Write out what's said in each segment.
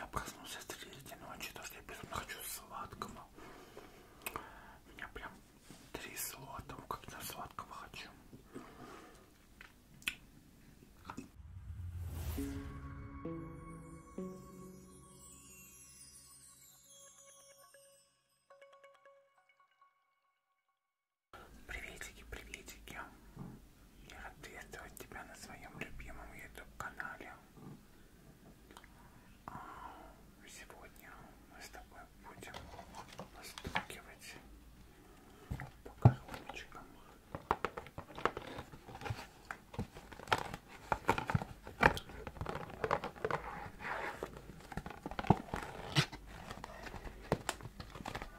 Я проснулся в третьей ночи, потому что я безумно хочу сладкого. У меня прям три слота, как я сладкого хочу. Приветики, приветики. Я рад приветствовать тебя на своем любимом YouTube-канале. А сегодня мы с тобой будем постукивать по коробочкам.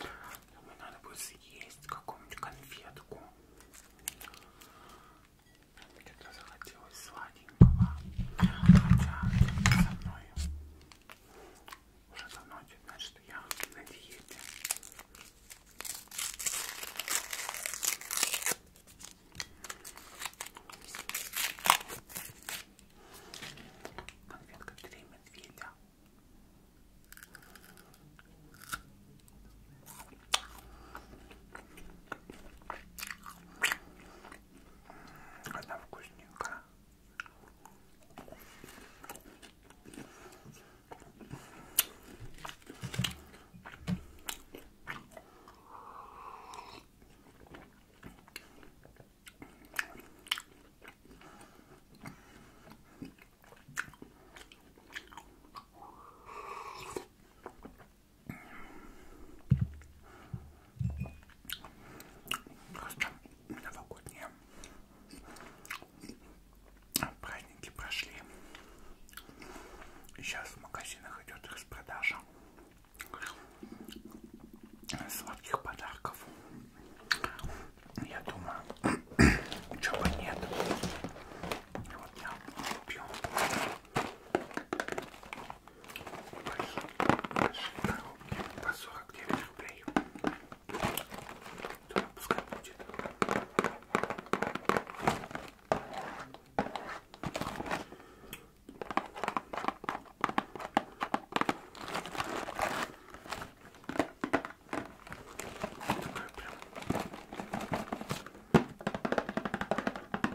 Думаю, надо будет съесть какую-нибудь конфетку. Что-то захотелось сладенького. Хотя со мной уже давно знать, что я на диете. Конфетка три медведя. Она вкусненькая. Просто новогодние праздники прошли. Сейчас в магазинах идет распродажа сладких подарков. Я думаю, чего бы нет. И вот я пью большие коробки по 49 рублей. То пускай будет. Такая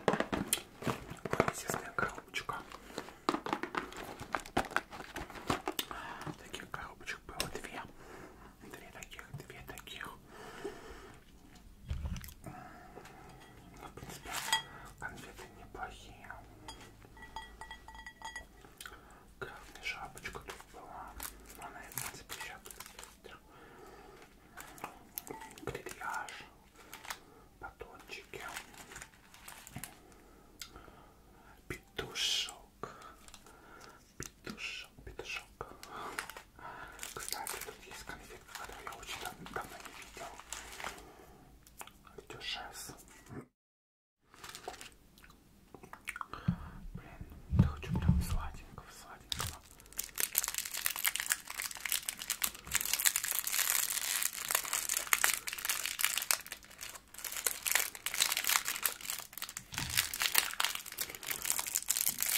прям консистная коробочка. Таких коробочек было две. Две таких, две таких. Ну, в принципе, конфеты неплохие. Главная шапочка тут была. Она и в принципе Грильяж, батончики, петушок, петушок, петушок. Кстати, тут есть конфетка, которую я очень давно не видел. Дюшес. Блин, я хочу прям сладенького, сладенького.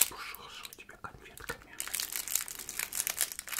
Пушошу тебя конфетками.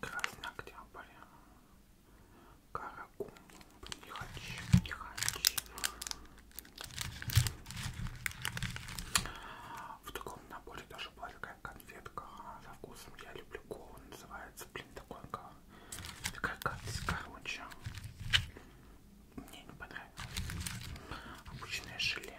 Красный октябрь. Каракум. Не хочу, не хочу. В таком наборе даже была такая конфетка со вкусом. Я люблю колу. Называется, блин, такой как... Такая гадость, короче. Мне не понравилось. Обычное желе.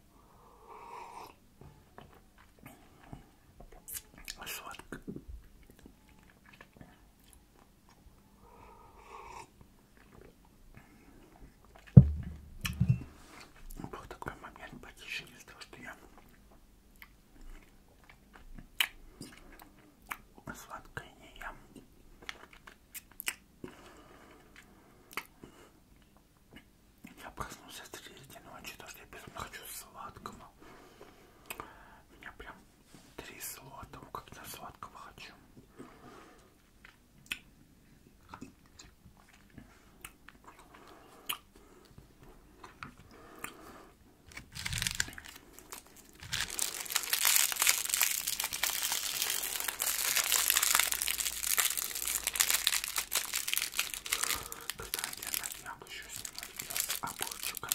Сладко. Был такой момент потише из-за того, что я сладкое не ем. Я проснулся в среди ночи, то что я безумно хочу сладкого. Меня прям трясло от того, как я сладкого хочу. Кстати, я на днях еще снимаю видео с огурчиками.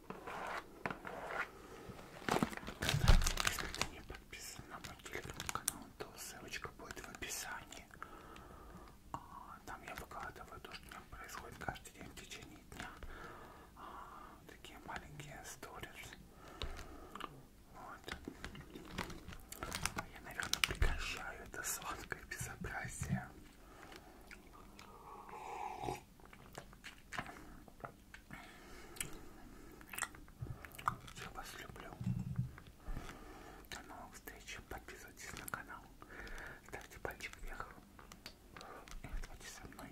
Когда ты, если ты не подписан на мой телеграм-канал, то ссылочка будет в описании. А, там я выкладываю то, что там происходит каждый день в течение дня. А, такие маленькие сторис. Вот. Я, наверное, прекращаю это сладкое безобразие. Я вас люблю. До новых встреч. Подписывайтесь на канал. Ставьте пальчик вверх. И оставайтесь со мной.